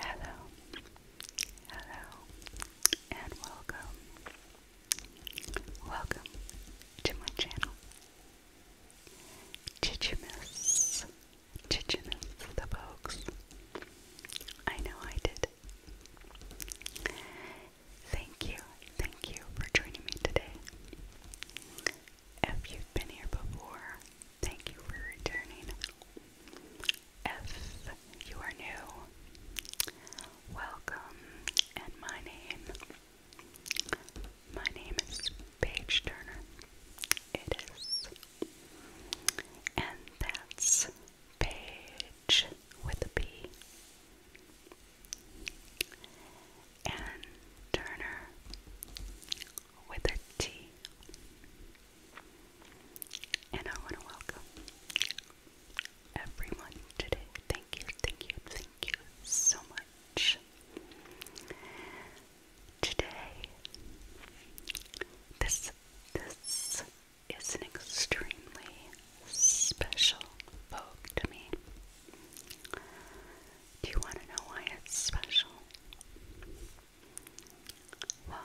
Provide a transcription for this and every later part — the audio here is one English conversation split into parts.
Hello, hello, and welcome. Welcome to my channel. Did you miss? Did you miss the folks? I know I did. Thank you, thank you for joining me today. If you've been here before, Thank you for returning. If you are new, welcome. And my name, my name is Paige Turner. It is, and that's Paige with a B. And Turner with a T. And I want to welcome everyone today. Thank you, thank you, thank you so much. Today, this this is an extremely special book Do you want to know why it's special? Well,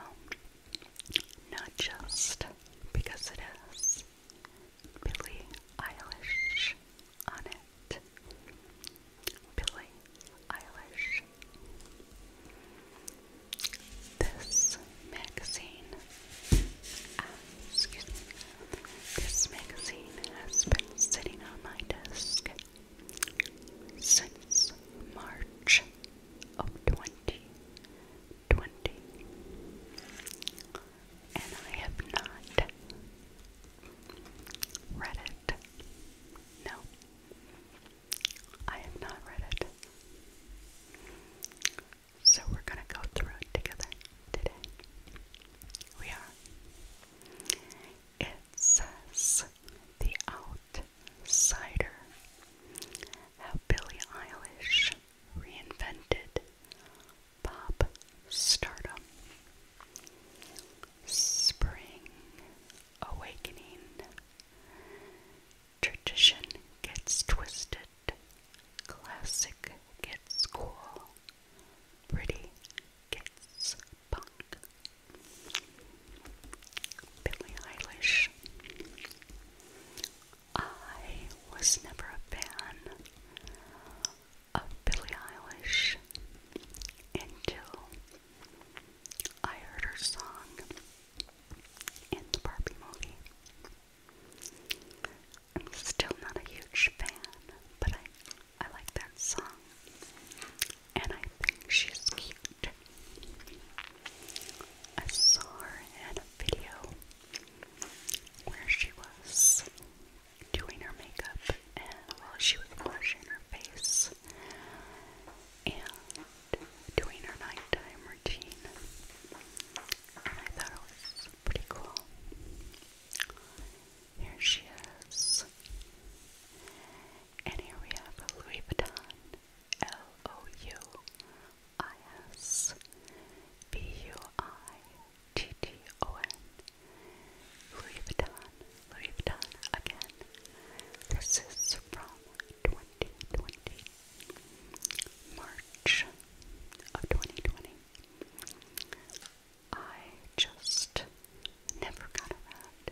not just because it has Billie Eilish on it. Billie Eilish. This magazine, excuse me, this magazine has been sitting on my desk since March of 2020, and I have not read it. No, I have not read it. So we're going to go through it together today. We are. It says the hour cider, how Billie Eilish reinvented pop stardom, spring awakening, tradition gets twisted, classic gets cool, pretty gets Punk, Billie Eilish. I was never a fan of Billie Eilish until I heard her song in the Barbie movie. I'm still not a huge fan, but I I like that song and I think she's cute. I saw her in a video where she was doing her makeup and while she was washing her face and doing her nighttime routine. And I thought it was pretty cool. Here she is. And here we have a Louis Vuitton. L O U I S B U I T T O N. Louis Vuitton. Louis Vuitton again. This is from 2020. March of 2020. I just never got around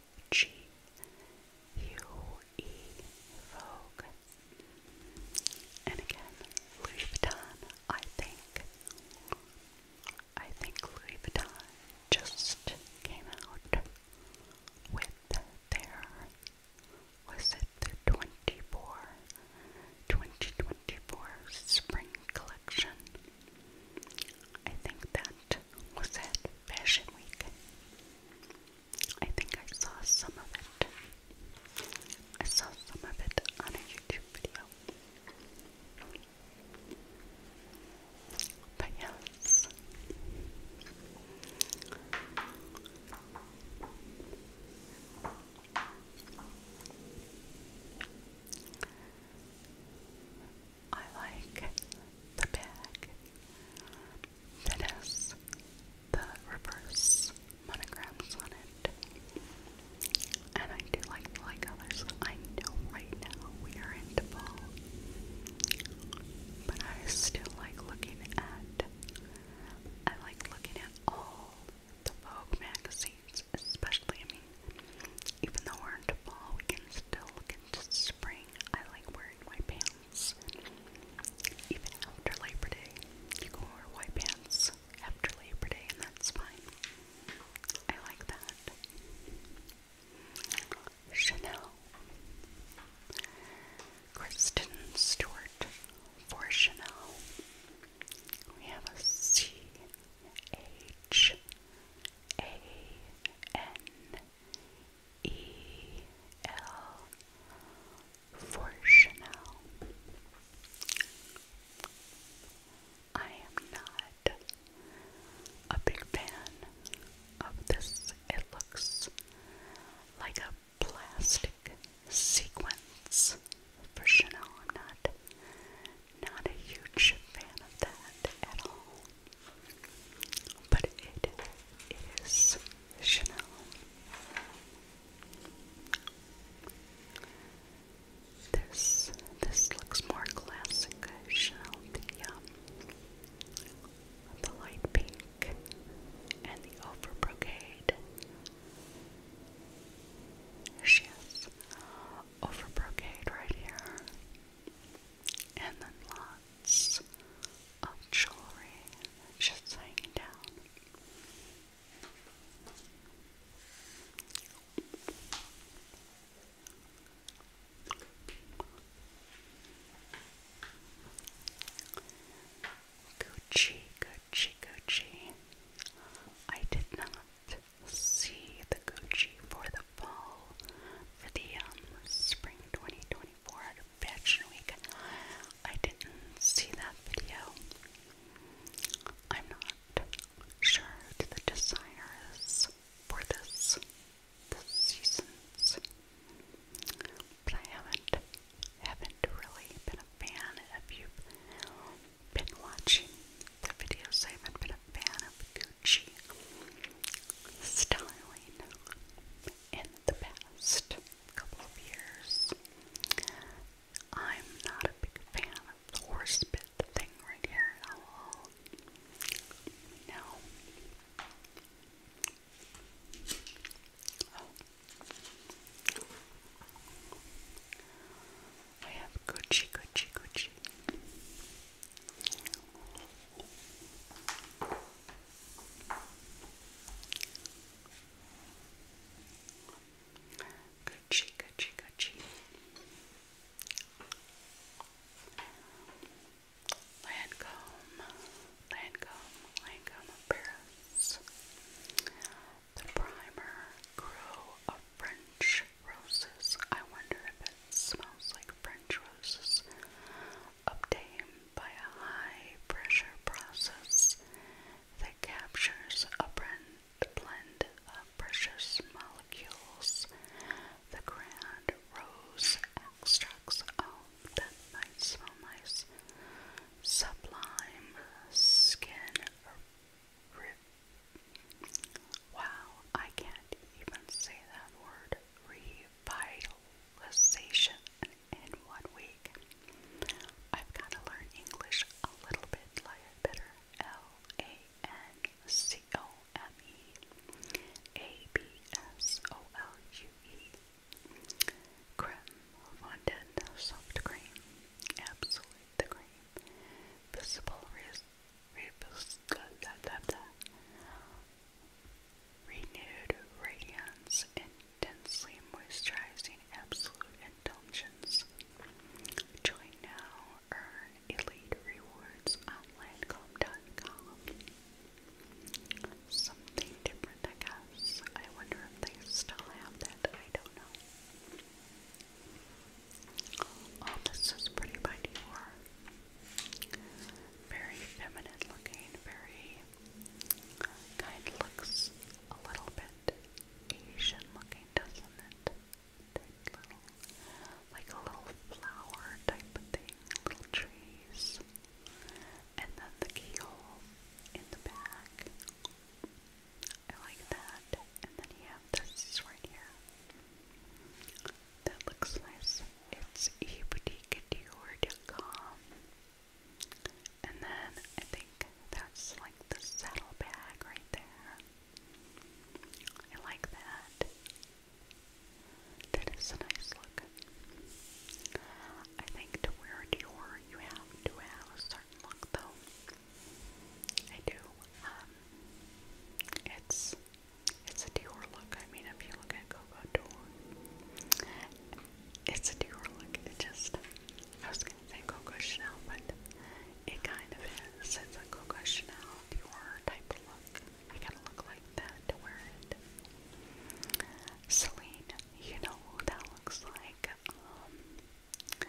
G U E Vogue. And again, Louis Vuitton, I think. I think Louis Vuitton just came out with their was it the 24 2024 spring collection? I think that was at Fashion Week. I think I saw some of it. I saw some of it on a YouTube video. But yes. I like the bag that has the reverse monograms on it. And I do like light colors. I know right now we are into fall, but I still like looking at. I like looking at all the Vogue magazines, especially. I mean, even though we're into fall, we can still look into spring. I like wearing my pants pants. Even after Labor Day, you can wear white pants after Labor Day, and that's fine. I like that. Chanel. Kristen Stewart for Chanel. We have a C H A N E L for Chanel. I am not a big fan of this. It looks like a plastic sequence for Chanel. I'm not not a huge fan of that at all. But it is Chanel. This this looks more classic Chanel. The um, the light pink and the over brocade. She right here, and then long lots of jewelry just hanging down. Gucci, Gucci, Gucci. I did not see the Gucci for the fall for the um, spring 2024 Fashion Week. I didn't see that video. I'm not sure the desires for this, this but I haven't haven't really been a fan. If you been watching the videos, I haven't been a fan of Gucci styling in the past couple of years. I'm not a big fan of the horse thing right here No. Oh. have Gucci, Gucci, Gucci. Gucci, Gucci, Gucci. Lancome, Lancome, Lancome Paris. The primer grew of French roses. I wonder if it smells like French roses obtained by a high-pressure process that captures a blend of precious molecules. The grand rose extracts of the nice sublime skin. Wow, I can't even say that word. Revitalization in one week. I've got to learn English a little bit better. L-A-N-C-O-M-E-A-B-S-O-L-U-E. -E. Creme, fondant, soft cream, absolute cream, visible, res, res, renewed radiance, intensely moisturizing absolute indulgence. Join now, earn elite rewards on landcomb.com. Something different, I guess. I wonder if they still have that. I don't know. Oh, this is pretty by Dior. Very feminine looking, very Kind looks a little bit Asian looking, doesn't it? like a little flower type thing, little trees. And then the keyhole in the back. I like that. And then you have this right here. That looks nice. It's eboutique.com. And then I think that's like the saddle bag right there. I like that. That is a nice look. I think to wear Dior, you have to have a certain look, though. I do. Um, it's it's a Dior look. I mean, if you look at Coco Dior, it's a Dior look. It just, I was going to say Coco Chanel, but it kind of is. It's a Coco Chanel Dior type look. I gotta look like that to wear it. Celine, you know that looks like. Um,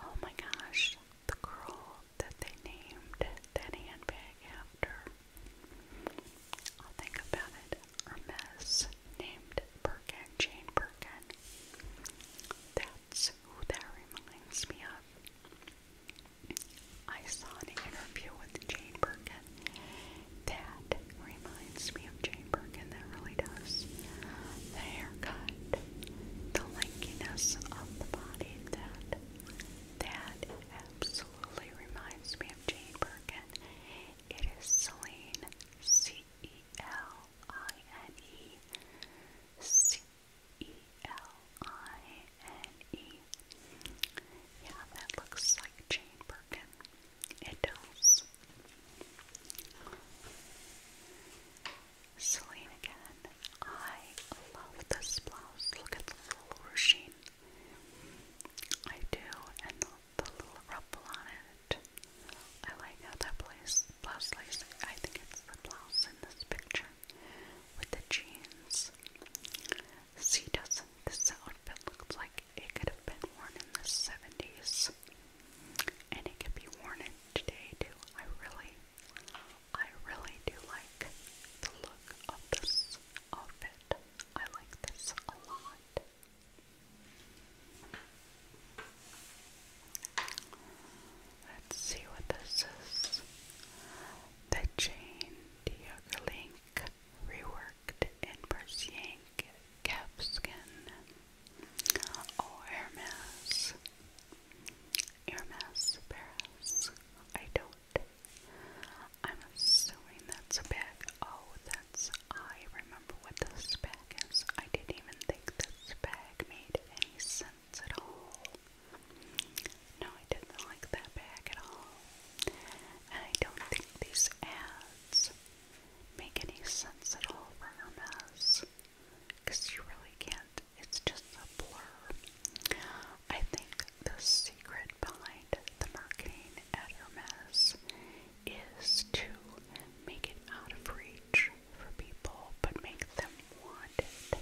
oh my gosh, the girl that they named that handbag after. I'll think about it. Hermes named Birkin, Jane Birkin. That's who that reminds me of. I saw an interview with Jane Birkin. That reminds me of Jane Birkin, that really does. The haircut, the lankiness of the body, that that absolutely reminds me of Jane Birkin. It is Celine, C E L I N E, C E L I N E. Yeah, that looks like Jane Birkin. It does. Celine again. I love this blouse. Look at the little ruching I do, and the, little ruffle on it. I like how that place blouse I think it's the blouse in this picture with the jeans. See, doesn't this outfit looks like it could have been worn in the seventies, and it could be worn today too. I really, I really do like the look of this outfit. I like this a lot. Let's see what this is. The Jane Diogelink reworked in Persian calfskin. Oh, Hermes. Hermes Paris. I don't. I'm assuming that's a bag. Oh, that's. I remember what this bag is. I didn't even think this bag made any sense at all. No, I didn't like that bag at all. And I don't think these ads make any sense at all for Hermes. Because you really can't. It's just a blur. I think the secret behind the marketing at Hermes is to make it out of reach for people, but make them want it.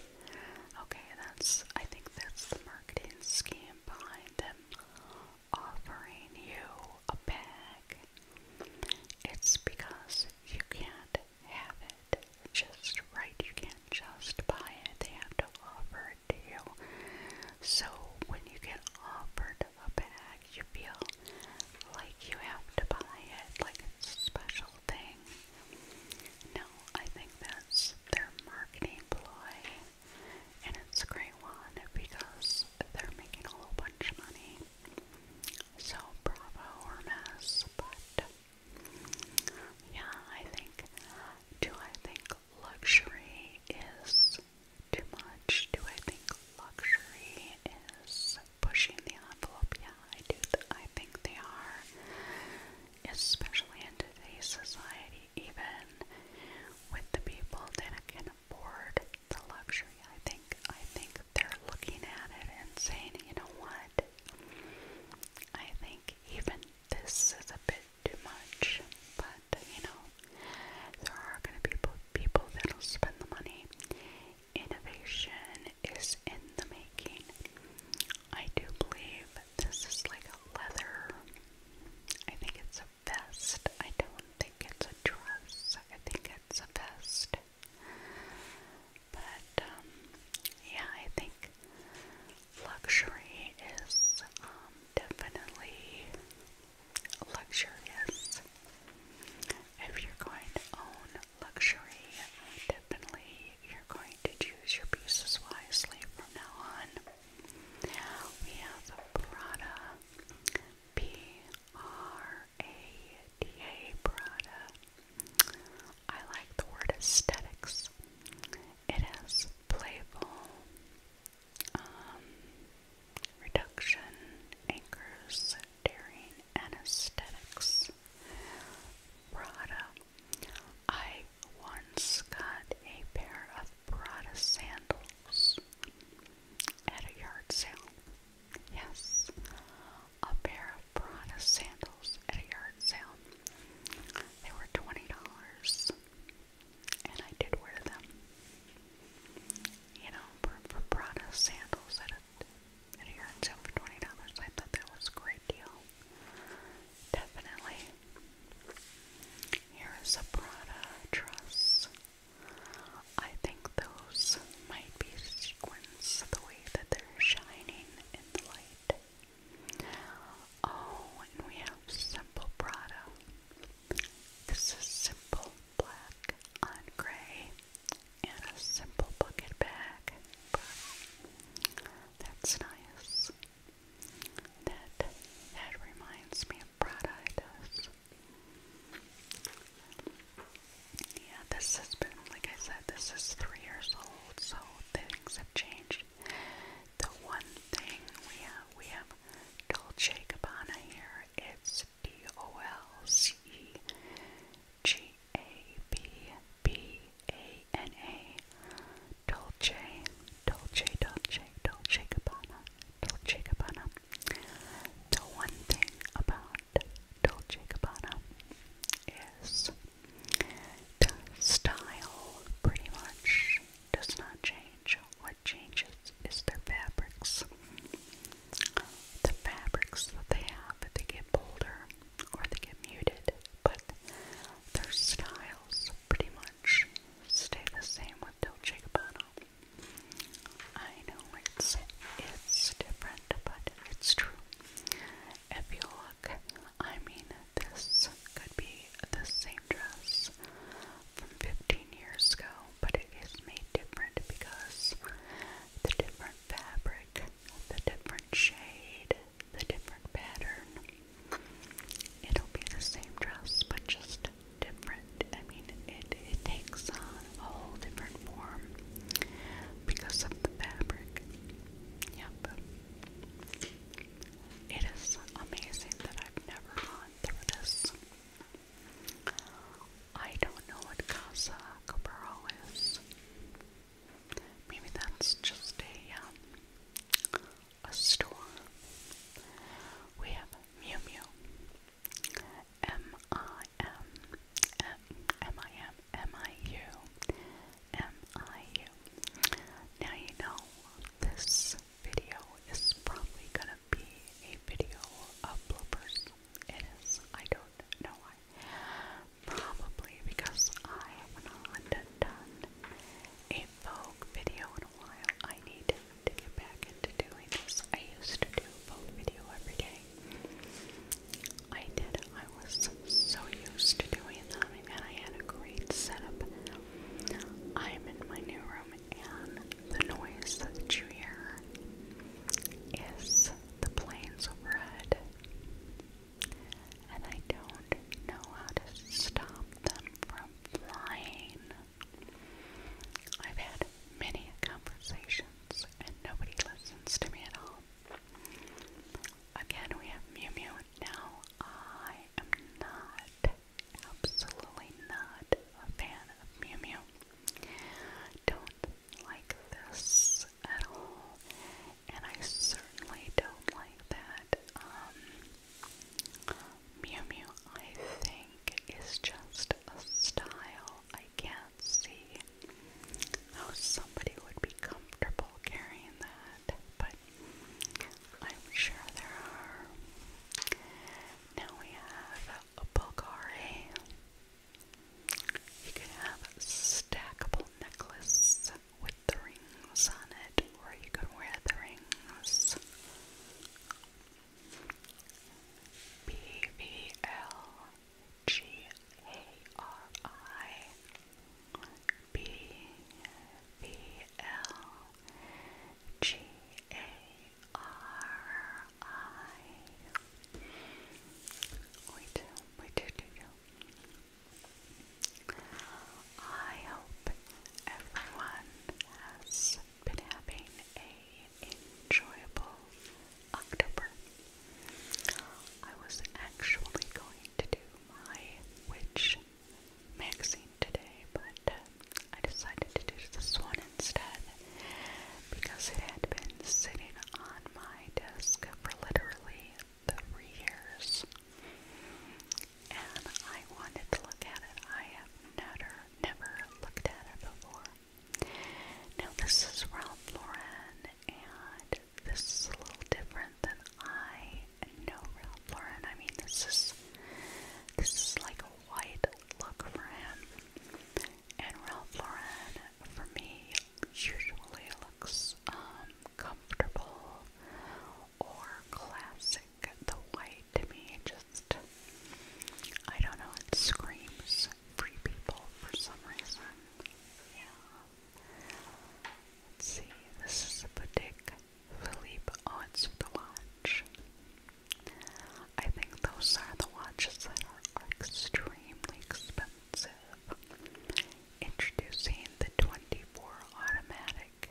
Okay, that's, I think that's the marketing scheme behind them offering you a bag. It's because you can't have it just right, you can't just buy it, they have to offer it to you. So when you get offered a bag, you feel like you have to buy it, like it's a special thing. No, I think that's their marketing ploy, and it's a great one because they're making a whole bunch of money. So, bravo or but yeah, I think, do I think luxury is too much. Do I think luxury is pushing the envelope? Yeah, I do. Th I think they are, especially in today's society. Even with the people that can afford the luxury, I think I think they're looking at it and saying, you know what? I think even this is a bit too much, but you know, there are going to be people that'll spend the money. Innovation is in the making. I do believe this is like a leather. I think it's a vest. I don't think it's a dress. I think it's a vest. But um, yeah, I think luxury is um, definitely luxurious. If you're going to own luxury, definitely you're going to choose your pieces wisely from now on. We have Prada, P R A D A Prada. I like the word aesthetics. It is playful, um, reduction, anchors, dairying, anesthetics. Prada. I once got a pair of Prada sandals at a yard sale. Yes, a pair of Prada sandals at a yard sale. They were $20 and I did wear them. You know, for, for sandals that a, at a yard sale for $20, I thought that was a great deal. Definitely. Here is a Prada truss. I think those might be sequins, the way that they're shining in the light. Oh, and we have Simple Prada. This is Simple black on gray, and a simple bucket bag. that's nice. That that reminds me of Prada does. Yeah, this has been like I said, this is three years old, so things have changed. The one thing we have we have Dolce Gabbana here it's D O L C E G A B B A N A Dolce, Dolce, Dolce, Dolce Gabbana, Dolce Gabbana. The one thing about Dolce Gabbana is the style pretty much does not change. What changes is their fabrics. The fabrics that they have, they get bolder or they get muted, but their styles pretty much stay the same with Del Chicabano. I know it's it's different, but it's true. If you look, I mean, this could be the same dress from 15 years ago, but it is made different because the different fabric, the different shade, the different pattern, it'll be the same dress, but just different. I mean, it, it takes on a whole different form because of the fabric. Yep. It is amazing that I've never gone through this. I don't know what Casa Cabral is. Maybe that's just a um, a store. We have Mew Mew, M I M M I M M I U M I U. Now you know this video is probably gonna be a video of It is. I don't know why. Probably because I have not done a Vogue video in a while. I need to get back into doing this. I used to do Vogue video every day. I did. I was so used to doing them, and I had a great setup. I'm in my new room, and the noise that you hear is the planes overhead, and I don't know how to stop them from flying. I've had many conversations, and nobody listens to me at all. Again, we have Mew Mew. Now, I am not Absolutely not a fan of Mew Mew. Don't like this at all, and I certainly don't like that. Um, Mew Mew, I think, is just a style. I can't see how somebody would be comfortable carrying that, but I'm sure there are. Now we have Bulgari. You can have stackable necklace with the rings on it, or you can wear the rings. B V L G A R I B V L G A R I. do, we do, do, do. I hope everyone has been having a enjoyable October. I was actually going to do my witch magazine today, but I decided to do this one instead because it had been sitting on my desk for literally three years. And I wanted to look at it. I have never, never looked at it before. Now this is Ralph Lauren, and this is a little different than I know Ralph Lauren. I mean, this is this is like a white look for him. And Ralph Lauren, for me, usually looks um, comfortable or classic. The white to me just, I don't know, it screams free people for some reason. Yeah. Let's see, this is a boutique. Philippe, oh, it's Blanche. I think those are the watches that are, extremely expensive. Introducing the 24 automatic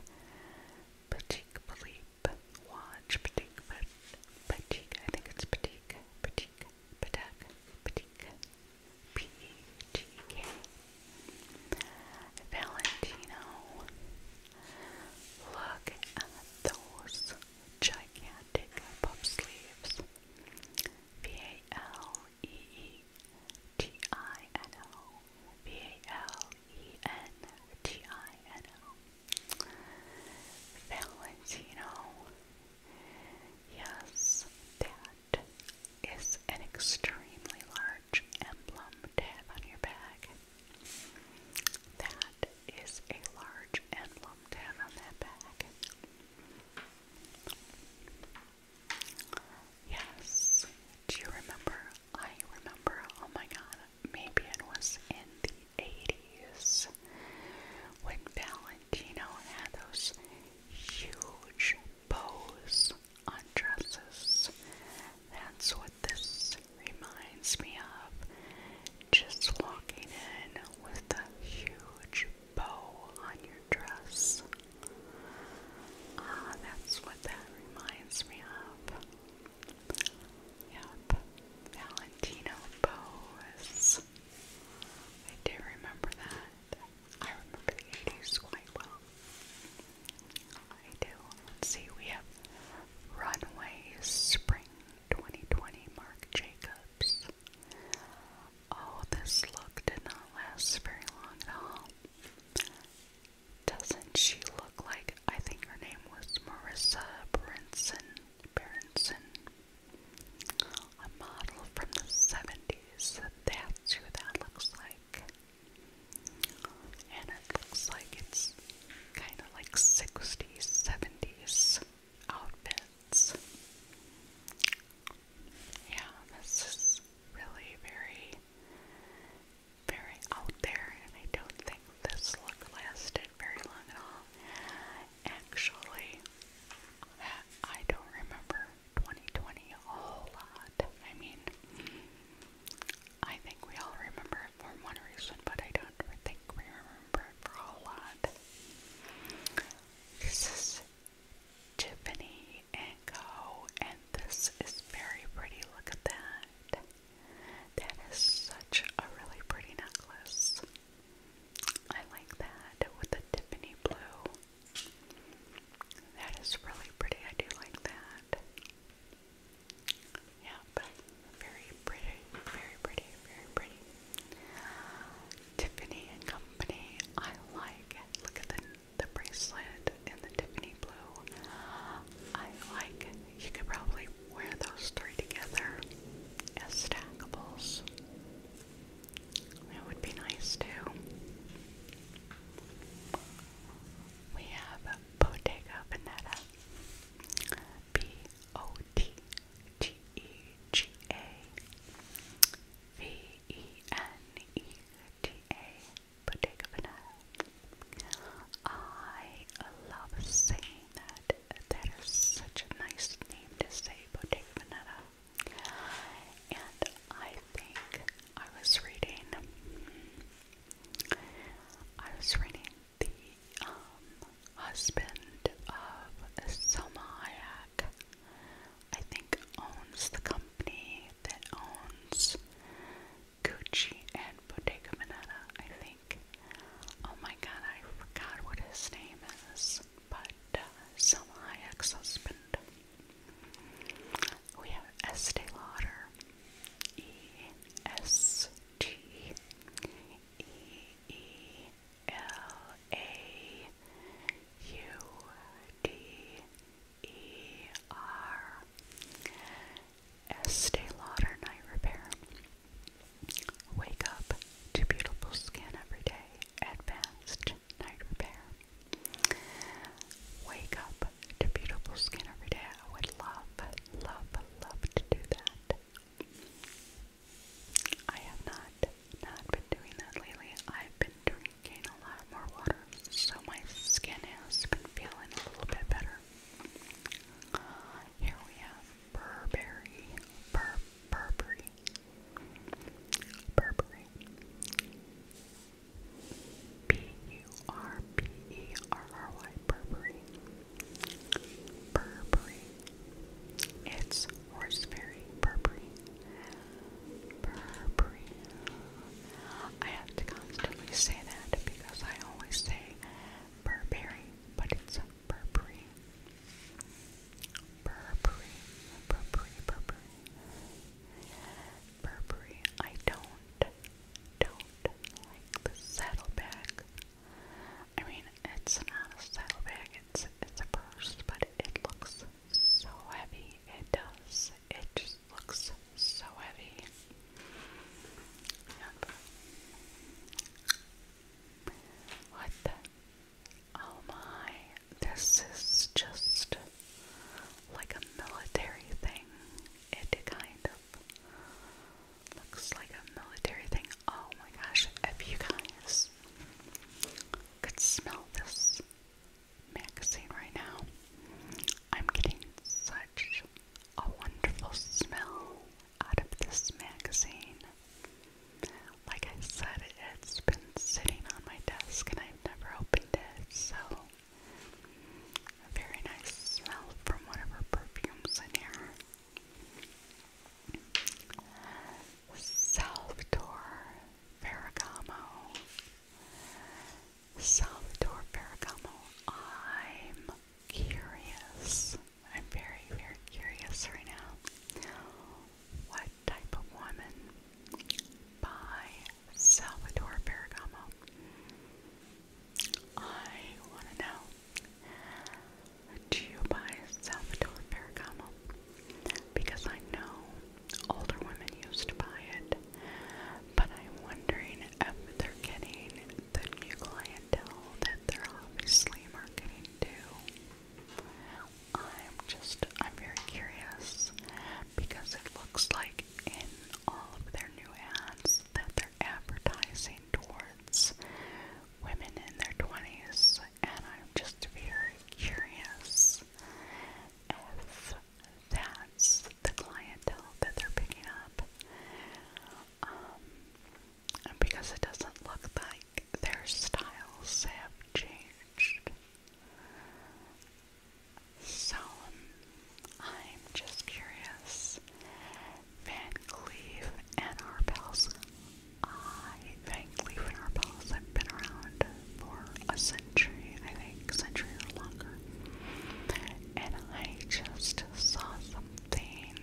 Patek Philippe watch, Patek, Patek, I think it's Patek, Patek, Patek, Patek, P-E-T-K, Valentino. Look at those gigantic pop sleeves. V A L E E T I N O V A L E N T I N O Valentino. Yes, that is an extremely large emblem to on your bag. That is a large and to down on that bag. Yes. Do you remember? I remember. Oh my god. Maybe it was in the 80s when Valentino had those huge bows on dresses. That's what this reminds me of just walking in with a huge bow on your dress. Ah, that's what that reminds me of. Yep, Valentino bows. I do remember that. I remember the 80s quite well. I do. Let's see, we have Runway Spring 2020 Marc Jacobs. Oh, this look did not last very long at all. Doesn't she look like, I think her name was Marissa Berenson, Berenson, a model from the 70s? That's who that looks like. And it looks like it's kind of like 60s, 70s outfits. Yeah, this is really very, very out there, and I don't think this look lasted very long at all. Actually, I don't remember 2020 a whole lot. I mean, I think we all remember it for one reason, but I don't think we remember Prahlad. This is Tiffany and Co. And this is very pretty. Look at that. That is such a really pretty necklace. I like that with the Tiffany blue. That is really pretty. I do like that. Yeah, but very pretty, very pretty, very pretty. Tiffany and Company, I like. Look at the the bracelet in the Tiffany blue. I like. You could probably wear those three together as stackables. That would be nice too. We have Bottega Veneta. P O T T E G A V E N E T A Bodega Vanilla. I love saying that. That is such a nice name to say, Bodega Vanilla. And I think I was reading. I was reading the um, husband of Selma Hayek, I think, owns the company that owns Gucci and Bottega Veneta, I think. Oh my god, I forgot what his name is, but uh, Hayek's husband. We have Estee Lauder, E S T E E L A U D E R Estee Lauder Night Repair. Wake up to beautiful skin every day. Advanced Night Repair. Wake up to beautiful skin every day. I would love, love, love to do that. I have not not been doing that lately. I've been drinking a lot more water, so my skin has been feeling a little bit better. Here we have Burberry, Bur Burberry, Burberry, B U R B E R R Y, Burberry. Burberry. It's horseberry Burberry. Burberry. I have to constantly say that because I always say Burberry, but it's Burberry. Burberry, Burberry, Burberry. Burberry. I don't, don't like the saddleback I mean, it's not a saddlebag, it's, it's a purse, but it looks so heavy. It does. It just looks so heavy. What the? Oh my, this is just like a military thing. It kind of Looks like a military thing. Oh my gosh, if you guys could smell this magazine right now, I'm getting such a wonderful smell out of this magazine. Like I said, it's been sitting on my desk and I've never opened it, so a very nice smell from whatever perfume's in here. Salvatore Ferragamo. Salvatore Ferragamo, I'm curious. I'm very, very curious right now. What type of woman by Salvatore Ferragamo? I want to know. Do you buy Salvador Ferragamo? Because I know older women used to buy it, but I'm wondering if they're getting the new clientele that they're obviously marketing to. I'm just, I'm very curious because it looks like in all of their new ads that they're they're advertising towards women in their 20s, and I'm just very curious if that's the clientele that they're picking up. Um, because it doesn't look like their styles have changed. So, um, I'm just curious Van Cleef and Arpels. I, Van Cleef and Arpels have been around for a century, I think, century or longer. And I just saw something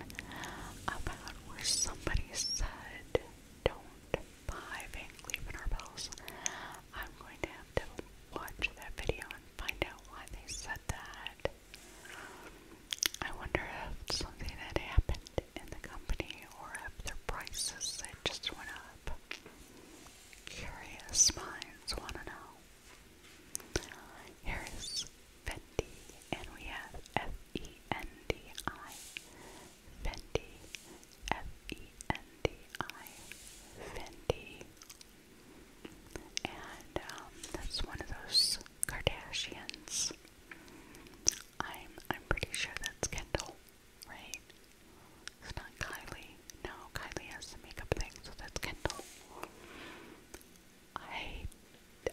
about where somebody said, don't buy Van Cleef and Arpels. I'm going to watch that video and find out why they said that. I wonder if something had happened in the company or if their prices had just went up. Curious minds want to know. Here is Fendi, and we have F E N D I. Fendi, F E N D I. Fendi. And um, that's one of those Kardashians. I'm I'm pretty sure that's Kendall, right? It's not Kylie. No, Kylie has the makeup thing, so that's Kendall. I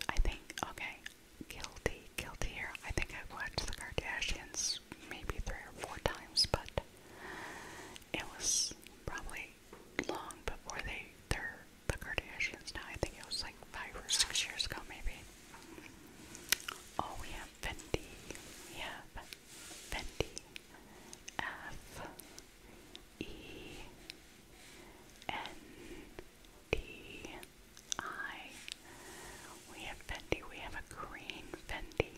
I think okay. Guilty, guilty here. I think I've watched the Kardashians maybe three or four times, but it was probably long before they their the Kardashians now. I think it was like five or six years ago, maybe. Oh, we have Fendi. We Fendi. F E N D I. We have Fendi. We have a green Fendi.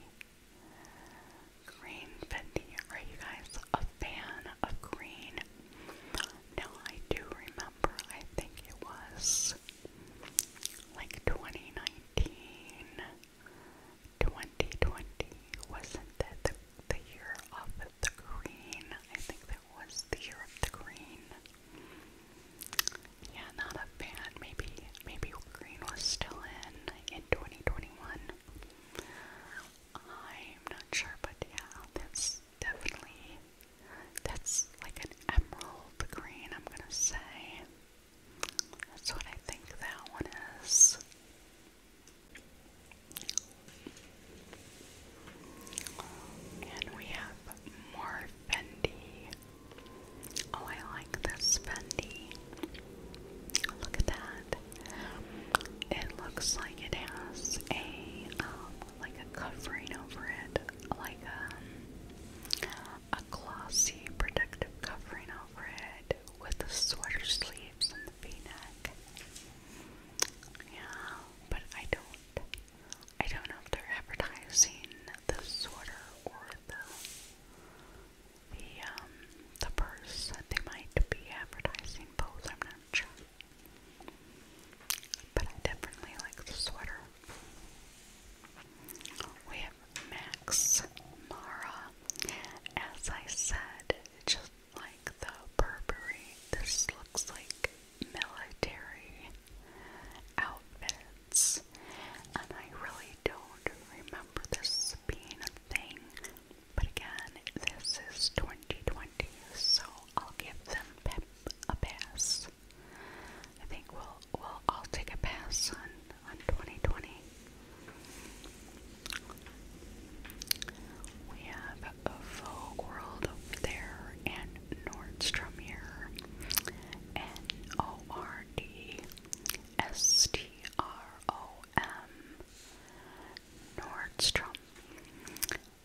Green Fendi. Are you guys a fan of green. Now, I do remember, I think it was like 2019, wasn't that the, the year of the green? I think that was the year of the green. Yeah, not a fan. Maybe, maybe green was still in in 2021. I'm not sure, but yeah, that's definitely that's like an emerald green, I'm gonna say. That's what I think that one is. And we have more Fendi. Oh, I like this Fendi. Look at that. It looks like it has a um, like a covering over it, like a, um, a glossy protective covering over it with the sweater sleeves and the v-neck. Yeah, but I don't, I don't know if they're advertising the sweater or the, the, um, the purse. They might be advertising both, I'm not sure. But I definitely like the sweater. We have Max Mara. As I said, just like the Burberry, this looks like military outfits. And I really don't remember this being a thing. But again, this is 2020. 20, so I'll give them a pass. I think we'll we'll all take a pass on on 2020. We have a Vogue World over there and Nordstrom here. N O R D S T R O M Nordstrom.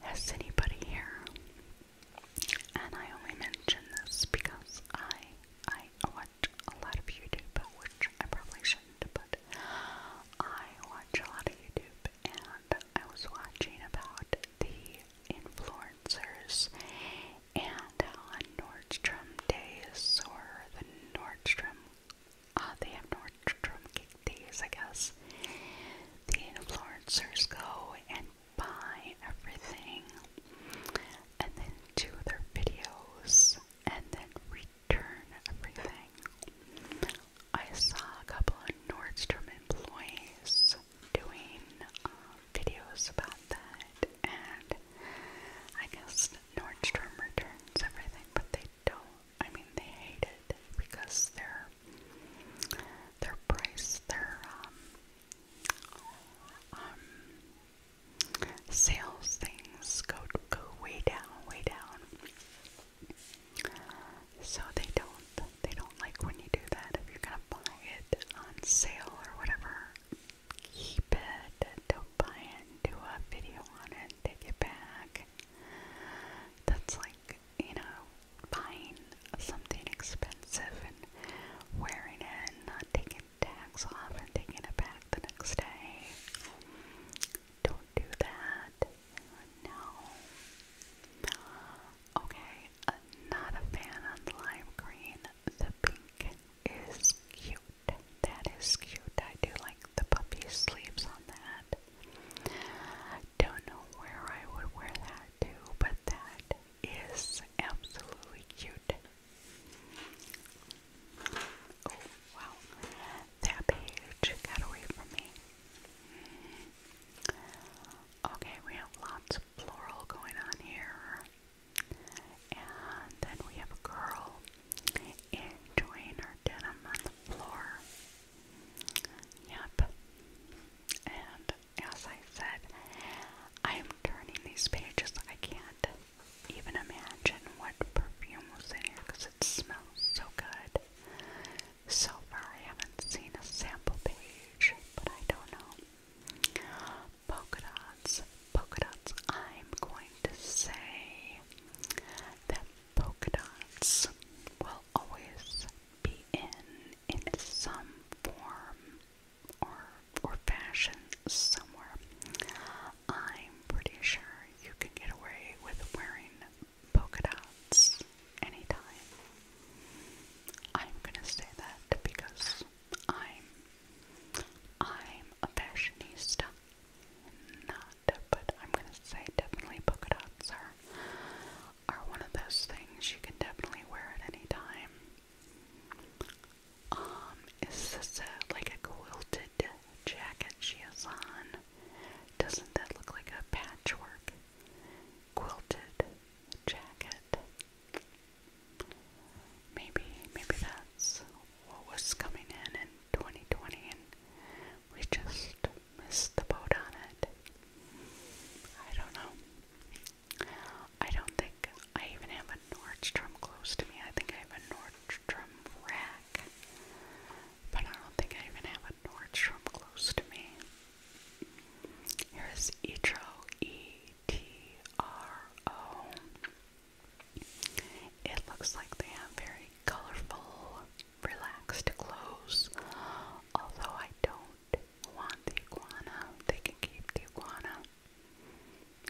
Has anybody here and I only mention this because I I watch a lot of YouTube, which I probably shouldn't, but I watch a lot of YouTube and I was watching about the influencers and on Nordstrom days or the Nordstrom uh, they have Nordstrom kick days I guess the influencers go and buy everything and then do their videos and then return everything. I saw a couple of Nordstrom employees doing um, videos about that, and I guess Nordstrom returns everything, but they don't. I mean, they hate it because they're their price, their um, um, sales things go go way down, way down. So they don't they don't like when you do that. If you're gonna buy it on sale or whatever, keep it. Don't buy it. Do a video on it. Take it back. That's like you know buying something expensive and wearing it and not taking tags off and taking it back the next day. Don't do that. No. Okay, uh, not a fan on the lime green. The pink is cute. That is cute. I do like the puffy sleeves on that. Don't know where I would wear that to, but that is absolutely cute. Oh, wow. That page got away from me. Okay, we have lots of floral going on here. And then we have a girl enjoying her denim on the floor. Yep. And as I said, I am turning these pages. I can't even imagine what perfume was in here because it smells so good. So far, I haven't seen a sample page, but I don't know. Polka dots, polka dots. I'm going to say that polka dots will always be in in some form or or fashion somewhere. I'm pretty sure you can get away with wearing polka dots anytime. I'm gonna say that because I'm I'm a fashionista. Not, but I'm gonna say definitely polka dots are are one of those things you can definitely wear at any time. Um, is this a, like a quilted jacket she has on? Doesn't that look like a patchwork quilted jacket? Maybe, maybe that's what was coming in in 2020 and we just missed the boat on it. I don't know. I don't think I even have a Nordstrom close to me. I think I have a Nordstrom rack. But I don't think I even have a Nordstrom close to me. Here's Etro, E-T-R-O. It looks like they have very colorful, relaxed clothes, although I don't do want the iguana, they can keep the iguana.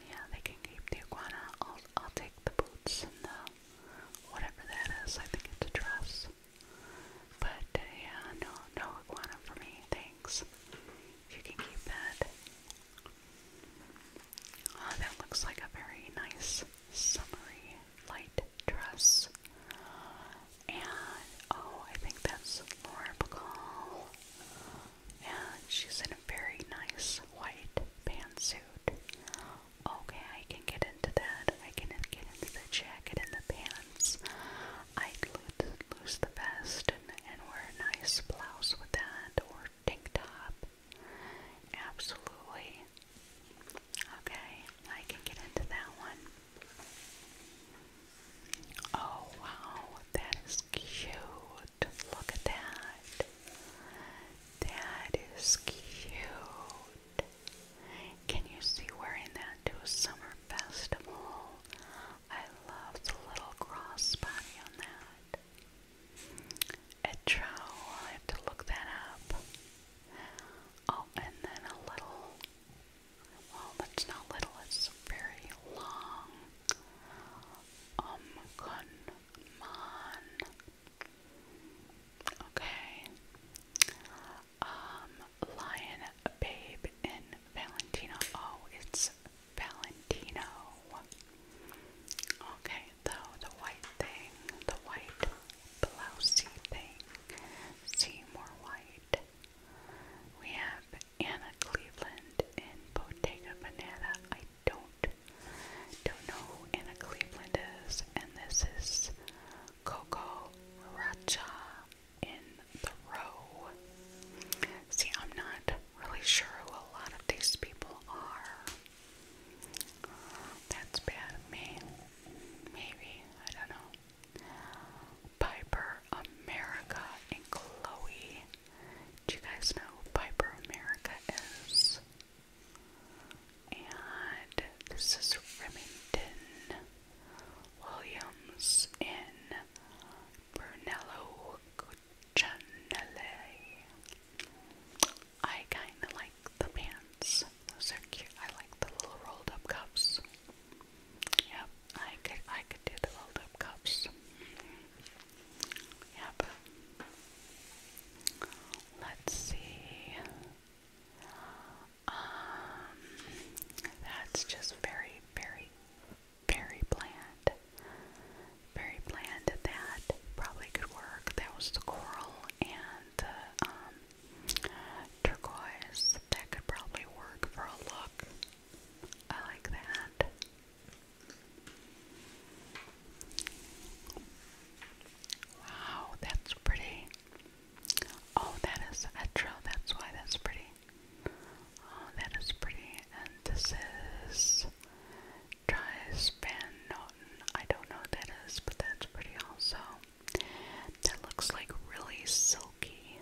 Yeah, they can keep the iguana. I'll, I'll take the boots and the whatever that is. I think it's a dress. But uh, yeah, no, no iguana for me. Thanks. You can keep that. Oh, that looks like a very nice summery light dress and oh, I think that's Laura Bacall. And she's in a very nice white pantsuit. Okay, I can get into that. I can get into the jacket and the pants. I'd lose, the vest and wear a nice blouse with that or tank top. Absolutely. Okay, I can get into that one. Oh wow, that is cute. Look at that. That is cute. Can you see wearing that to a summer festival? I love the little crossbody on that. Etro, i have to look that up. Oh, and then a little well, that's not little, it's very long. Um, Kunman. Okay. Um, Lion Babe in Valentino. Oh, it's Valentino. Okay, though, the white thing, the white blousey thing. See more white. We have Anna Cleveland in Bottega Banana. I don't don't know who Anna Cleveland is, and this is Coco Racha in the Row. See, I'm not really sure who a lot of these people are. That's bad of me. Maybe, I don't know. Piper America and Chloe. Do you guys know who Piper America is? And this is Remington Williams in Brunello Cucinelli. I kind of like the pants. Those are cute. I like the little rolled up cuffs. Yep, I could I could do the rolled cups. Yep. Let's see. Um that's just very, very, very bland. Very bland that. Probably could work. That was the coral and um, turquoise that could probably work for a look. I like that. Wow, that's pretty. Oh, that is a That's why that's pretty. Oh, that is pretty. And this is Dries Van Noten. I don't know what that is, but that's pretty also. That looks like really silky.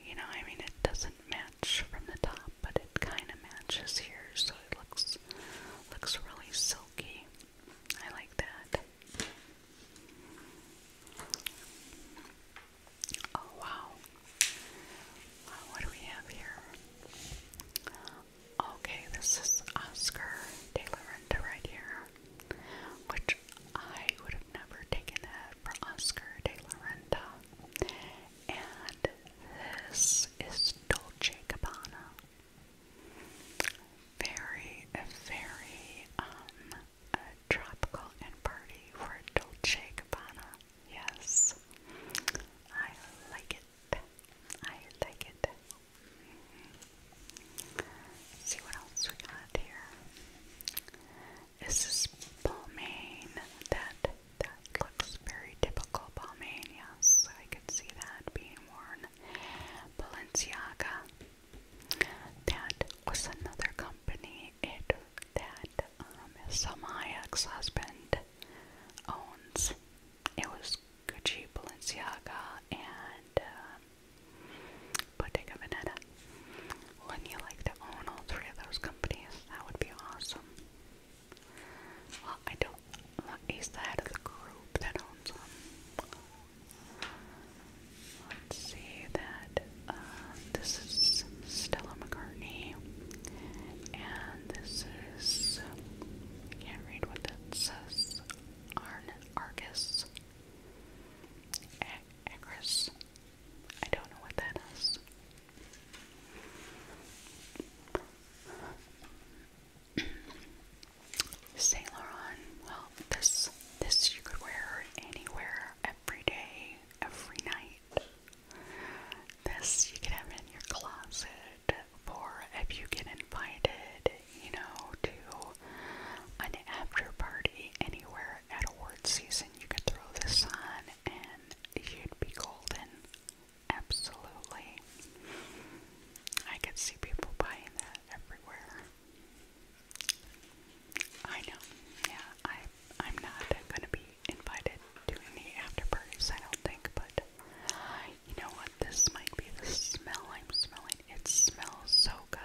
You know, I mean, it doesn't match from the top, but it kind of matches here, so it looks looks really silky. I like that. Oh wow! Uh, what do we have here? Okay, this is Oscar De La Renta right here which I would have never taken that for Oscar de la Renta. And this is Dolce Gabbana. Very, very um, tropical and party for Dolce Gabbana. Yes, I like it. I like it let see what else we got here. Is this Balmain? That that looks very typical Balmain. Yes, I could see that being worn. Balenciaga. That was another company. It that um, some my ex-husband owns. It was Gucci, Balenciaga, and um, Bottega Veneta. Wouldn't you like to own all three of those companies? That would be awesome. Well, I don't. Well, he's the head of the group that owns them. Let's see that. Uh, this is Stella McCartney, and this is. I can't read what that says. Arn Argus. Agris. I don't know what that is. Saint Laurent, well, this this you could wear anywhere, every day, every night. This you could have in your closet for if you get invited, you know, to an after party anywhere at awards season. You could throw this on and you'd be golden. Absolutely. I could see people buying that everywhere. I know. Yeah, I I'm not gonna be invited to any after parties, I don't think, but you know what? This might be the smell I'm smelling. It smells so good.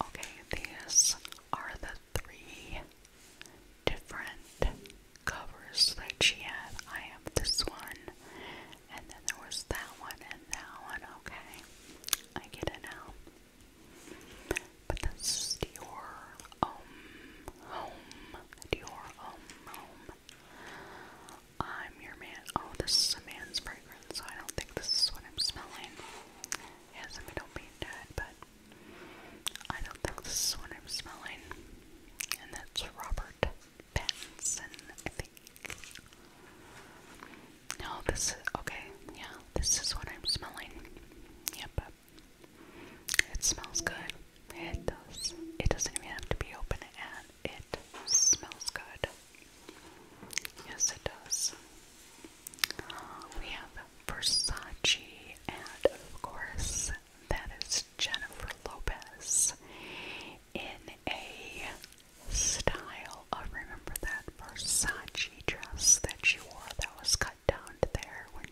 Okay, these are the three different covers that she had. I have this one, and then there was that one, and that one. Okay, I get it now. But this is Dior Om um, Home. Dior Om um, Home. I'm your man. Oh, this is a man's break so I don't think this is what I'm smelling. Yes, I mean, don't be dead, but I don't think this is what I'm smelling. And that's Robert Pattinson, I think. No, this is okay. Yeah, this is what I'm smelling. Yep, it smells good. It does. It doesn't even have to be open, and it smells good. Yes, it does. We have Versace, and of course, that is Jennifer Lopez in a style of remember that Versace dress that she wore that was cut down there when,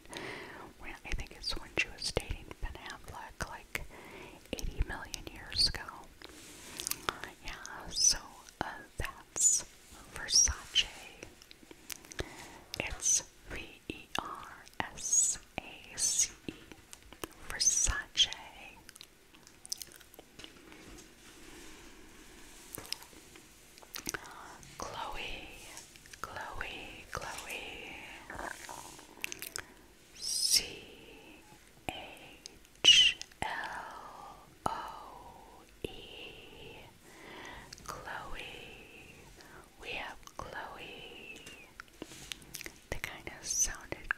when I think it's when she was dating Ben Affleck like 80 million years ago. Yeah, so uh, that that's Versace. It's V E R S A C E. Versace. Chloe, Chloe, Chloe. C A H L O E Chloe. We have Chloe. That kind of sounded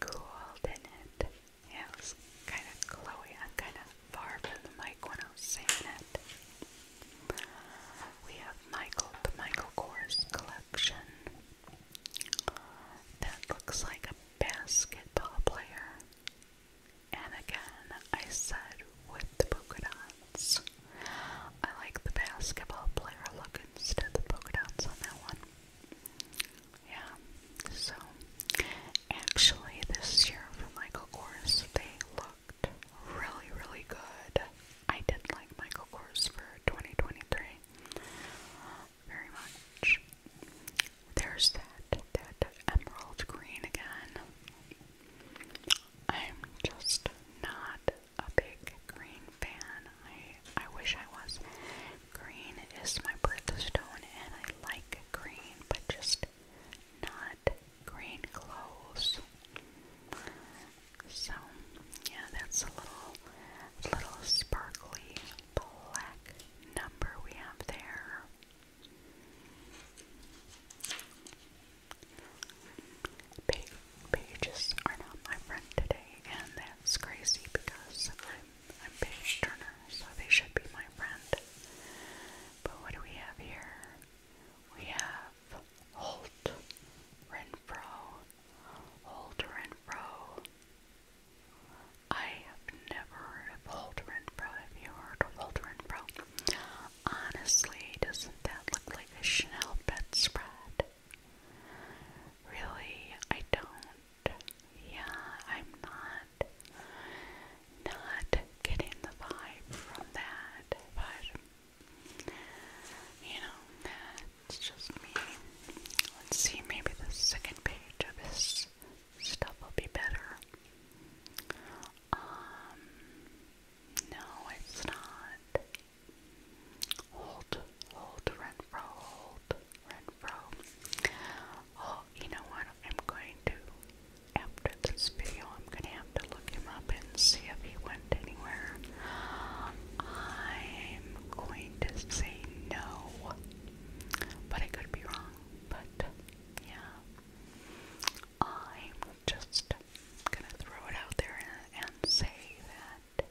cool, didn't it? Yeah, it was kind of Chloe. I'm kind of far from the mic when I was saying it. We have Michael, the Michael Kors collection. That looks like a basketball player. And again, I said with the polka dots. I like the basketball player look instead of the polka dots on that one. Yeah, so actually, this year for Michael Kors, they looked really, really good. I did like Michael Kors for 2023 very much. There's that, that emerald green again. I'm just not a big green fan. I I wish I was. Green is my birthstone and I like green, but just not green clothes. So yeah, that's a little little sparkly black number we have there. Pages are not my friend today, and that's crazy because I'm, I'm so they should be my friend. But what do we have here? We have Holt, Renfro, Holt Renfro, I have never heard of Holderin Have you heard of Holderin Honestly, doesn't that look like a Chanel bedspread? Really, I don't. Yeah, I'm not not getting the vibe from that, but you know, that's just me. Let's see, maybe the second page of this stuff will be better. Um, no, it's not. Hold, hold, Renfro, hold, Renfro. Oh, you know what? I'm going to, after this video, I'm going to have to look him up and see if he went anywhere. I'm going to say no, but I could be wrong but yeah, I'm just gonna throw it out there and, say that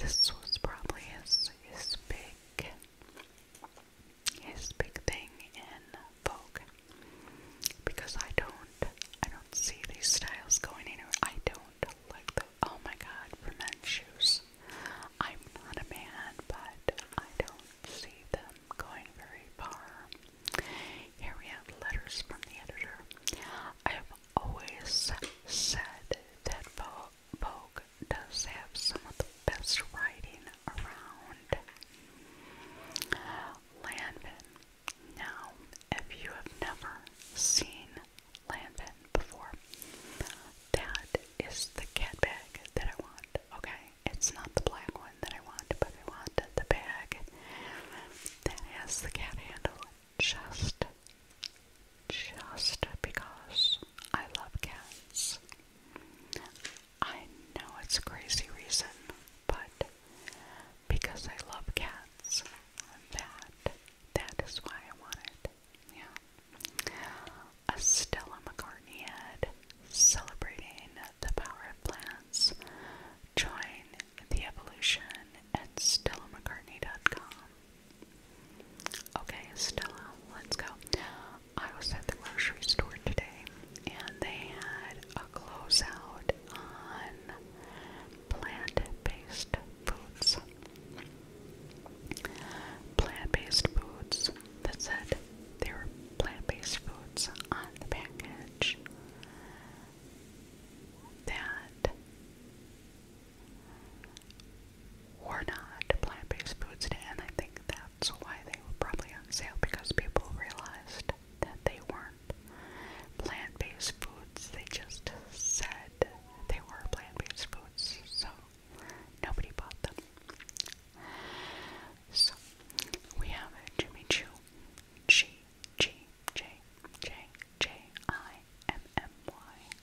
this was probably his his big his big thing in Vogue because I don't I don't see these styles going anywhere. I don't like the oh my god for men's shoes. I'm not a man, but I don't see them going very far. Here we have letters from the editor. I have always said that Vogue does have some of the best writing around. Lanvin. Now, if you have never seen Lanvin before, that is the cat bag that I want. Okay, it's not the black one that I want, but I want the bag that has the cat handle just, just because I love cats. I know it's a crazy reason, but because I love cats, that that is why I want it. Yeah. Stella McCartney ad celebrating the power of plants. Join the evolution at StellaMcCartney.com. Okay, Stella, let's go. I was at the grocery store today and they had a closeout on plant based foods. Plant-based foods that said they were plant-based foods on the package that were not plant-based foods, and I think that's why they were probably on sale because people realized that they weren't plant-based foods. They just said they were plant-based foods, so Nobody bought them. So we have Jimmy Choo, G G J J J I M M Y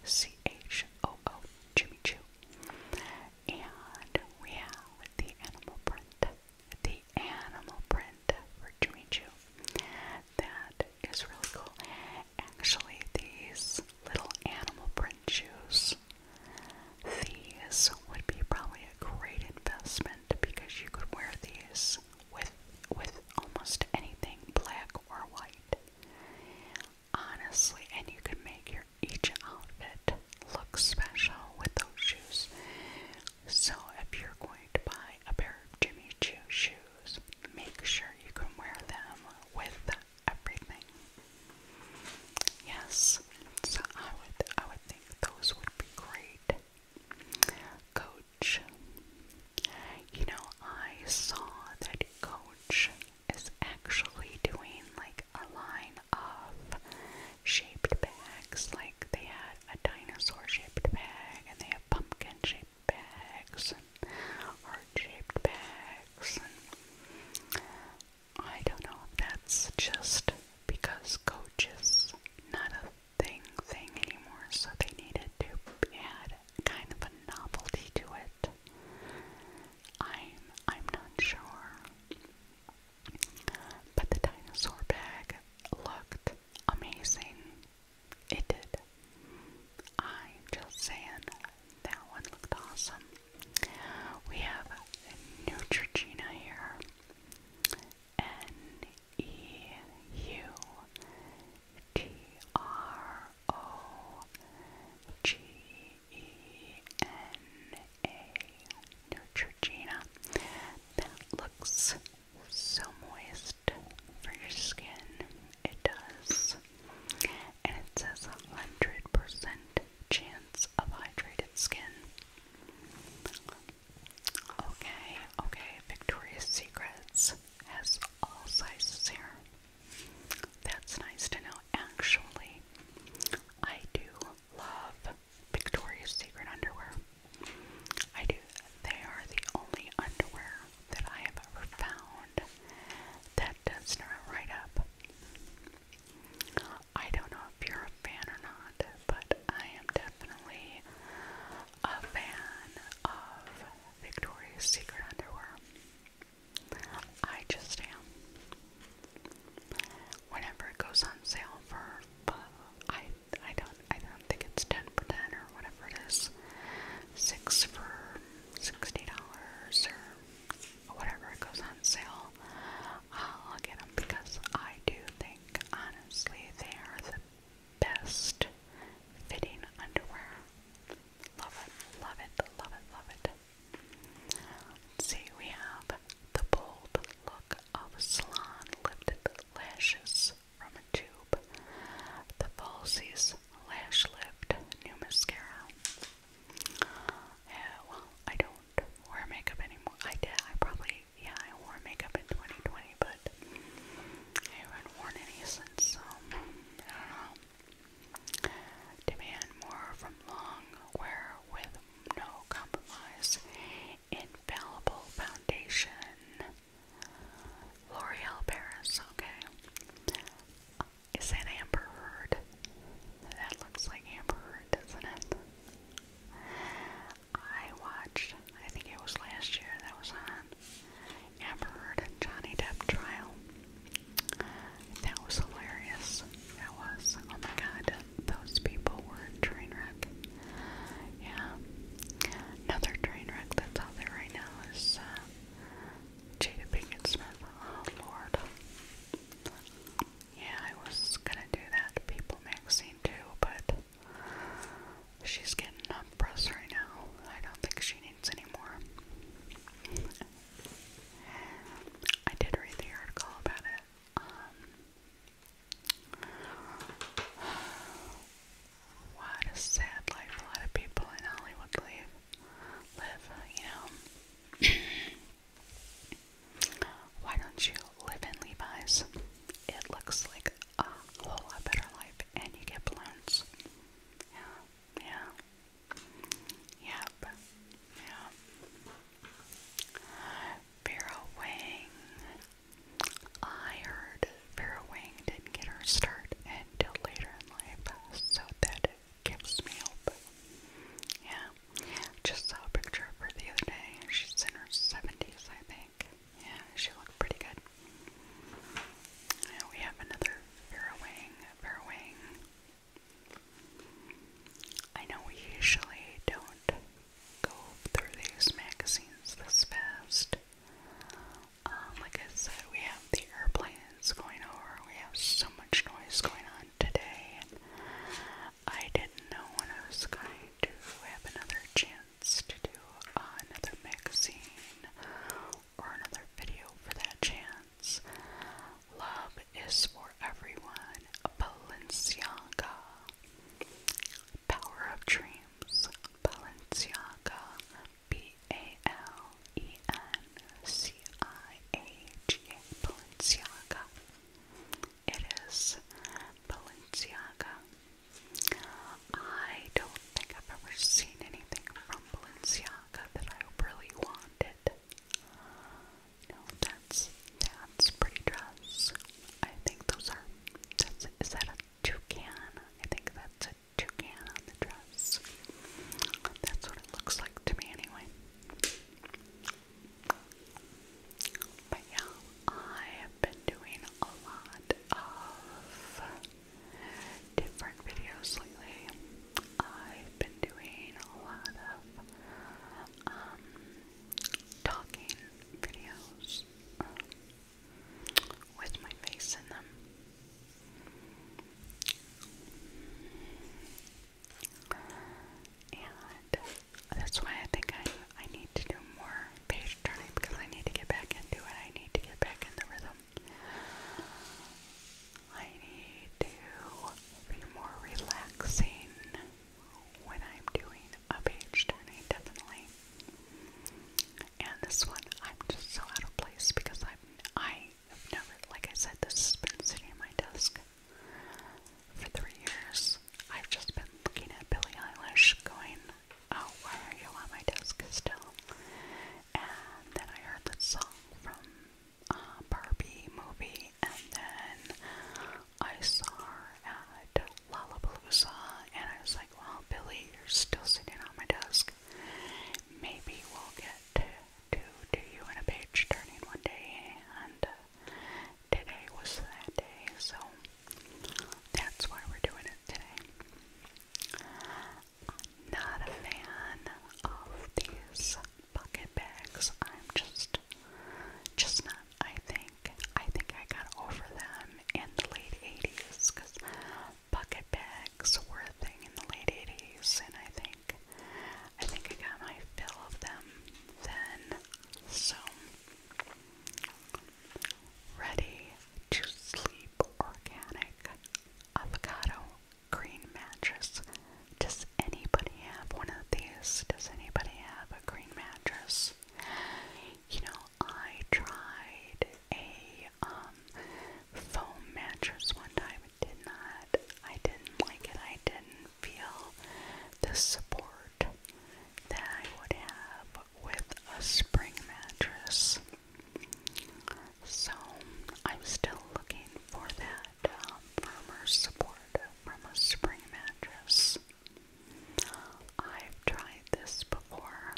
C H O O, Jimmy Choo, and we have the animal print, the animal print for Jimmy Choo. That is really cool. Actually, these little animal print shoes these would be probably a great investment because you could wear these with with almost anything black or white. Honestly, and you could make your each outfit look special with those shoes. So if you're going to buy a pair of Jimmy Choo shoes, make sure you can wear them with everything. Yes, so I would I would think those would be great. Coach. You know, I saw that Coach is actually doing like a line of shaped bags. Like they had a dinosaur shaped bag and they have pumpkin shaped bags and heart shaped bags and I don't know that's just because coach not a thing thing anymore, so they needed to add kind of a novelty to it. I'm I'm not sure. But the dinosaur bag looked amazing. It did. I'm just saying, that one looked awesome. We have Neutrogena here. N E U T R O G E N A Neutrogena. That looks so moist for your skin. It does and it says 100% chance of hydrated skin. Okay, okay, Victoria's Secrets has all sizes here. That's nice to know. Actually, I do love Victoria's Secret underwear. I do. They are the only underwear that I have ever found that does not right up. I don't know if you're a fan or not, but I am definitely a fan of Victoria's Secret underwear. I just am. Whenever it goes on sale for, uh, I I don't I don't think it's ten for ten or whatever it is, six for sixty dollars or whatever goes on sale, I'll get them because I do think, honestly, they are the best fitting underwear. Love it, love it, love it, love it. see, we have the bold look of salon lifted lashes from a tube, the falsies lash lift new mascara, yeah, well, I don't wear makeup anymore. I did. I probably, yeah, I wore makeup in 2020, but I haven't worn any since, um, I don't know. Demand more from long wear with no compromise. Infallible foundation. L'Oreal Paris, okay. Is that Amber Heard? That looks like Amber Heard, doesn't it? I watched, I think it was last year that was on, Amber Heard and Johnny Depp trial. That was hilarious. That was, oh my god, those people were a train wreck. Yeah. Another train wreck that's out there right now is uh, Jada Pinkett Smith. Oh lord. Yeah, I was gonna do that People magazine too, but she's getting up press right now. I don't think she needs any more. I did read the article about it. Um, what a sad life a lot of people in Hollywood live. Live, you know. Why don't you live in Levi's? It looks like a whole lot better life, and you get balloons. Yeah, yeah, yep, yeah. Vera Wang. I heard Vera Wang didn't get her start until later in life, so that gives me hope. Yeah. Just saw a picture of her the other day. She's in her 70s, I think. Yeah, she looked pretty good. Now we have another Vera Wang. Vera Wang. I know we usually don't go through these magazines this fast. Um, like I said, we have the airplanes going over, we have so much noise going on today, I didn't know when I was going to have another chance to do another magazine or another video for that chance. Love is for everyone. Balenciaga. Power of Dreams. Balenciaga. B A L E N C C-I-A-G-A, Balenciaga. It is Balenciaga. I don't think I've ever seen anything from Balenciaga that I really wanted. that's that's pretty dress. I think those are. is that a toucan? I think that's a toucan on the dress. That's what it looks like to me, anyway. But yeah, I have been doing a lot of different videos lately. I've been doing a lot of um, talking videos um, with my face in them. And that's why I think I, I need to do more page turning because I need to get back into it. I need to get back in the rhythm. I need to be more relaxing when I'm doing a page turning, definitely. And this one, I'm just so out of place because I'm I I've never, like I said, this has been sitting on my desk for three years. I've just been looking at Billie Eilish going, oh, why are you on my desk still? And then I heard this song from uh, Barbie movie, and then I saw her at Lollapalooza, and I was like, well, Billie, you're still sitting on my desk. Maybe we'll get to to do you in a page turning one day, and uh, today was that day, so that's why we're doing it today. not a fan of these bucket bags. I'm just, just not. I think, I think I got over them in the late 80s because bucket bags were a thing in the late 80s, and I think I think I got my fill of them then. So, ready to sleep organic avocado green mattress. Does anybody have one of these? Does anybody have a green mattress? You know, I tried a um, foam mattress one time did not, I didn't like it. I didn't feel the support that I would have with a spring mattress. So I'm still looking for that um, firmer support from a spring mattress. I've tried this before.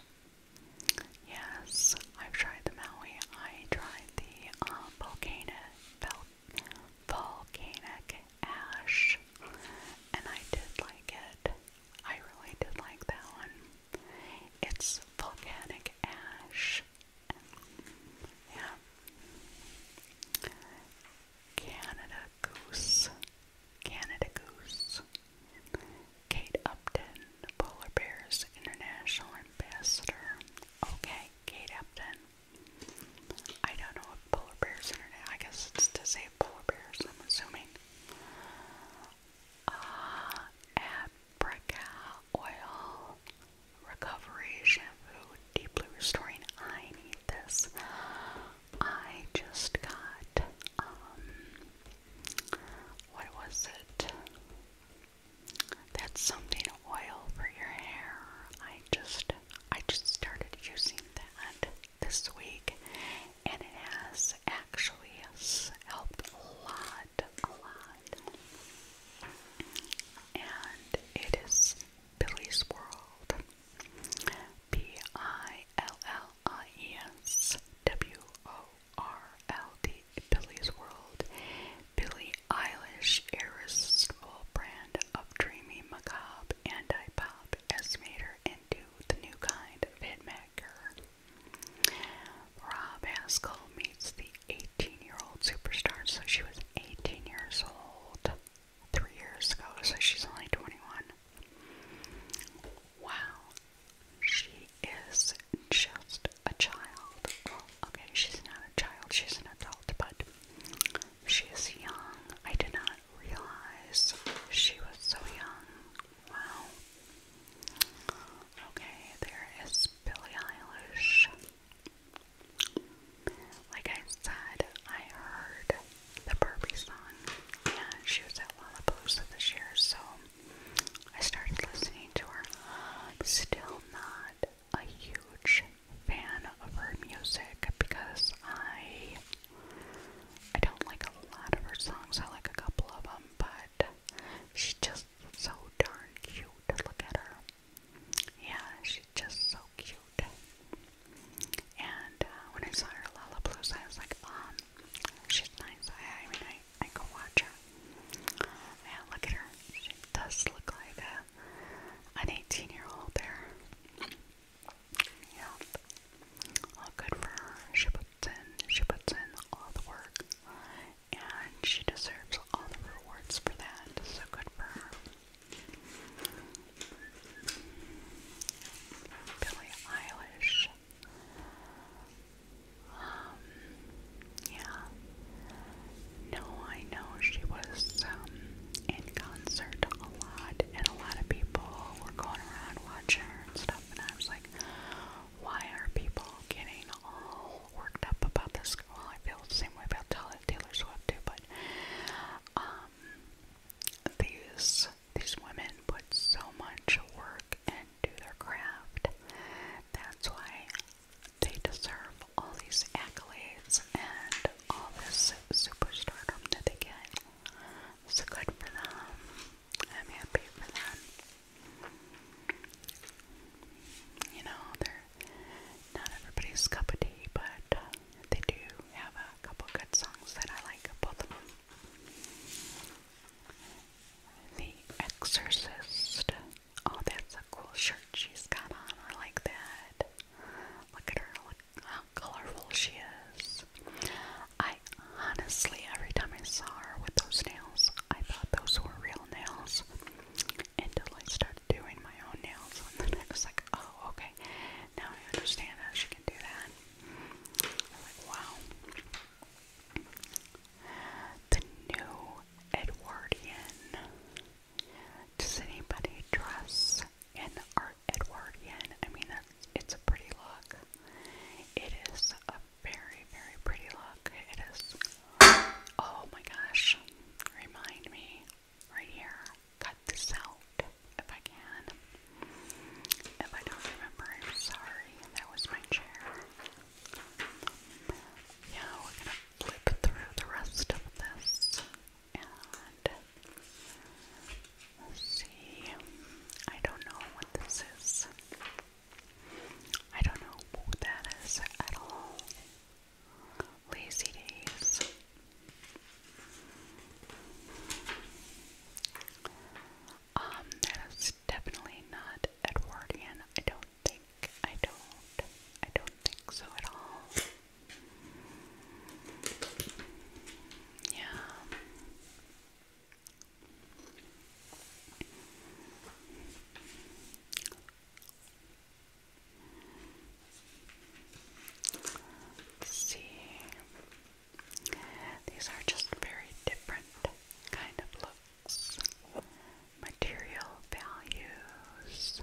Yes, I've tried the Maui. I tried the um, Volcano, volcanic ash, and I did like it. I really did like that one. It's volcanic ash. Yeah. Canada Goose. Canada Goose. Kate Upton, Polar Bears International Ambassador. Okay, Kate Upton. I don't know if polar bears internet. I guess it's to save polar bears, I'm assuming. Ah, uh, Abraca oil recovery shampoo, deeply restoring. I need this. I just got um what was it? That's something oil for your hair. I just I just started using that this week and it has actually helped a lot, a lot. And it is Billy's World. B I L L I E S W O R L D Billy's World. Billy Eilish irresistible brand of dreamy macabre anti-pop has into the new kind of hitmaker. Rob Haskell meets the 18-year-old superstar, so she was 18 years old three years ago, so she's only 21. Wow, she is just a child. Well, okay, she's not a child, she's an adult, but she is young. I did not realize she was so young. Wow. Okay, there is Billie Eilish. Like I said, I heard the Burpee song, and she was at Lollapalooza this year, so I started listening to her. still not a huge fan of her music because I I don't like a lot of her songs. I like a couple of them, but she's just so darn cute. to Look at her. Yeah, she's just so cute. And uh, when I saw her Lollapalooza, I was like, um, she's nice. I, I mean, I, I go watch her. Man, look at her. She does look like a an 18 year old there. Yeah. All good for her. She puts in, she puts in all the work. And she deserves all the rewards for that. So good for her. Billie Eilish. Um, yeah. No, I know she was um, in concert a lot, and a lot of people were going around watching her and stuff. And I was like, why are people getting all worked up about this? Well, I feel the same way about Taylor Swift too, but um, these these women put so much work into their craft. That's why they deserve all these accolades and all this superstardom that they get. So good for them. I'm happy for them. You know, they're not everybody's cup of tea, but they do have a couple good songs that I like, both of them. The Exorcist. Oh, that's a cool shirt she's got on. I like that. Look at her, look how colorful she is. I honestly, every time I saw her with those nails, I thought those were real nails until I started doing my own nails, and then I was like, oh, okay, now I understand how she can do that. I'm like, wow. The new Edwardian does anybody dress in Art Edwardian? I mean, it's a pretty look. It is a very, very pretty look. It is. Oh my gosh. Remind me right here. Cut this out if I can. If I don't remember, I'm sorry. That was my chair. Yeah, we're gonna flip through the rest of this. And see. I don't know what this is. I don't know what that is at all. Lazy days. Um, that is definitely not Edwardian. I don't think. I don't. I don't think so at all. Yeah. see. These are just very different kind of looks. Material values.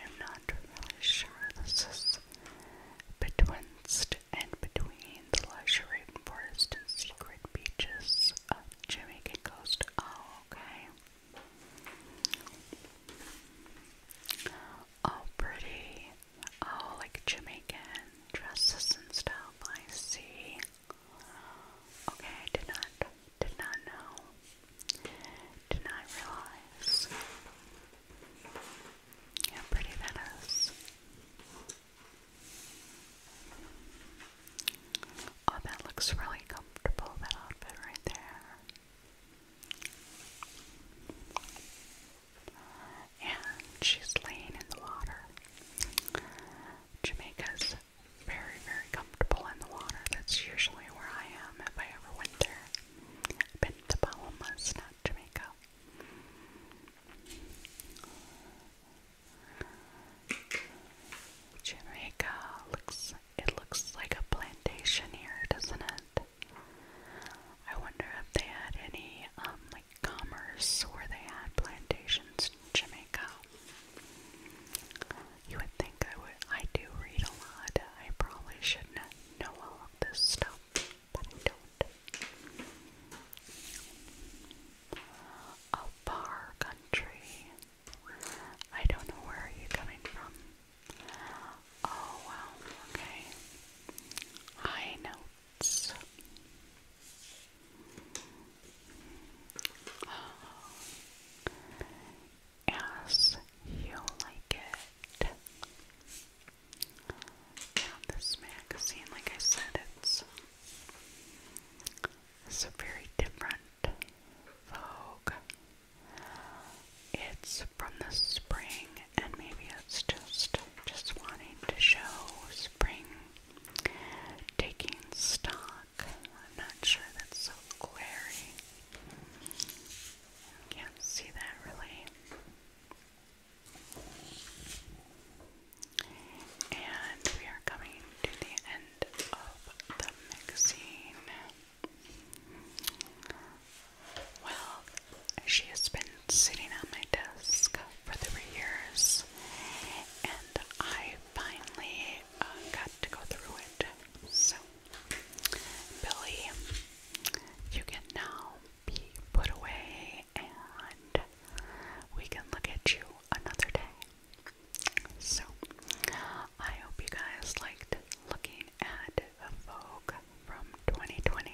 I'm not really sure this is betwixt and between the luxury forest and secret beaches of Jamaica Coast. Oh, okay. Oh, pretty. Oh, like Jamaican dresses and stuff. I see. Okay, I did not, did not know did not realize how pretty that is. Oh, that looks really comfortable, that outfit right there. And she's laying in the water. Jamaica's very, very comfortable in the water. That's usually where I am if I ever went there. I've been to Bahamas, not Jamaica. Jamaica looks it looks like a plantation here, doesn't it? I wonder if they had any um like commerce where they had plantations in Jamaica. You would think I would. I do read a lot. I probably shouldn't know all of this stuff, but I don't. A far country. I don't know where are you coming from. Oh wow. Okay. High notes as you like it. this magazine, like I said, it's, very different Vogue. It's from the spring, and maybe it's just just wanting to show spring taking stock I'm not sure that's so glary. Can't see that really. And we are coming to the end of the mixing. Well, she has been sitting on my desk for three years, and I finally uh, got to go through it. So Billy, you can now be put away and we can look at you another day. So, I hope you guys liked looking at Vogue from 2020,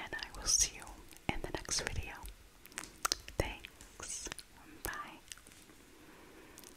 and I will see you in the next video. Thanks. Bye.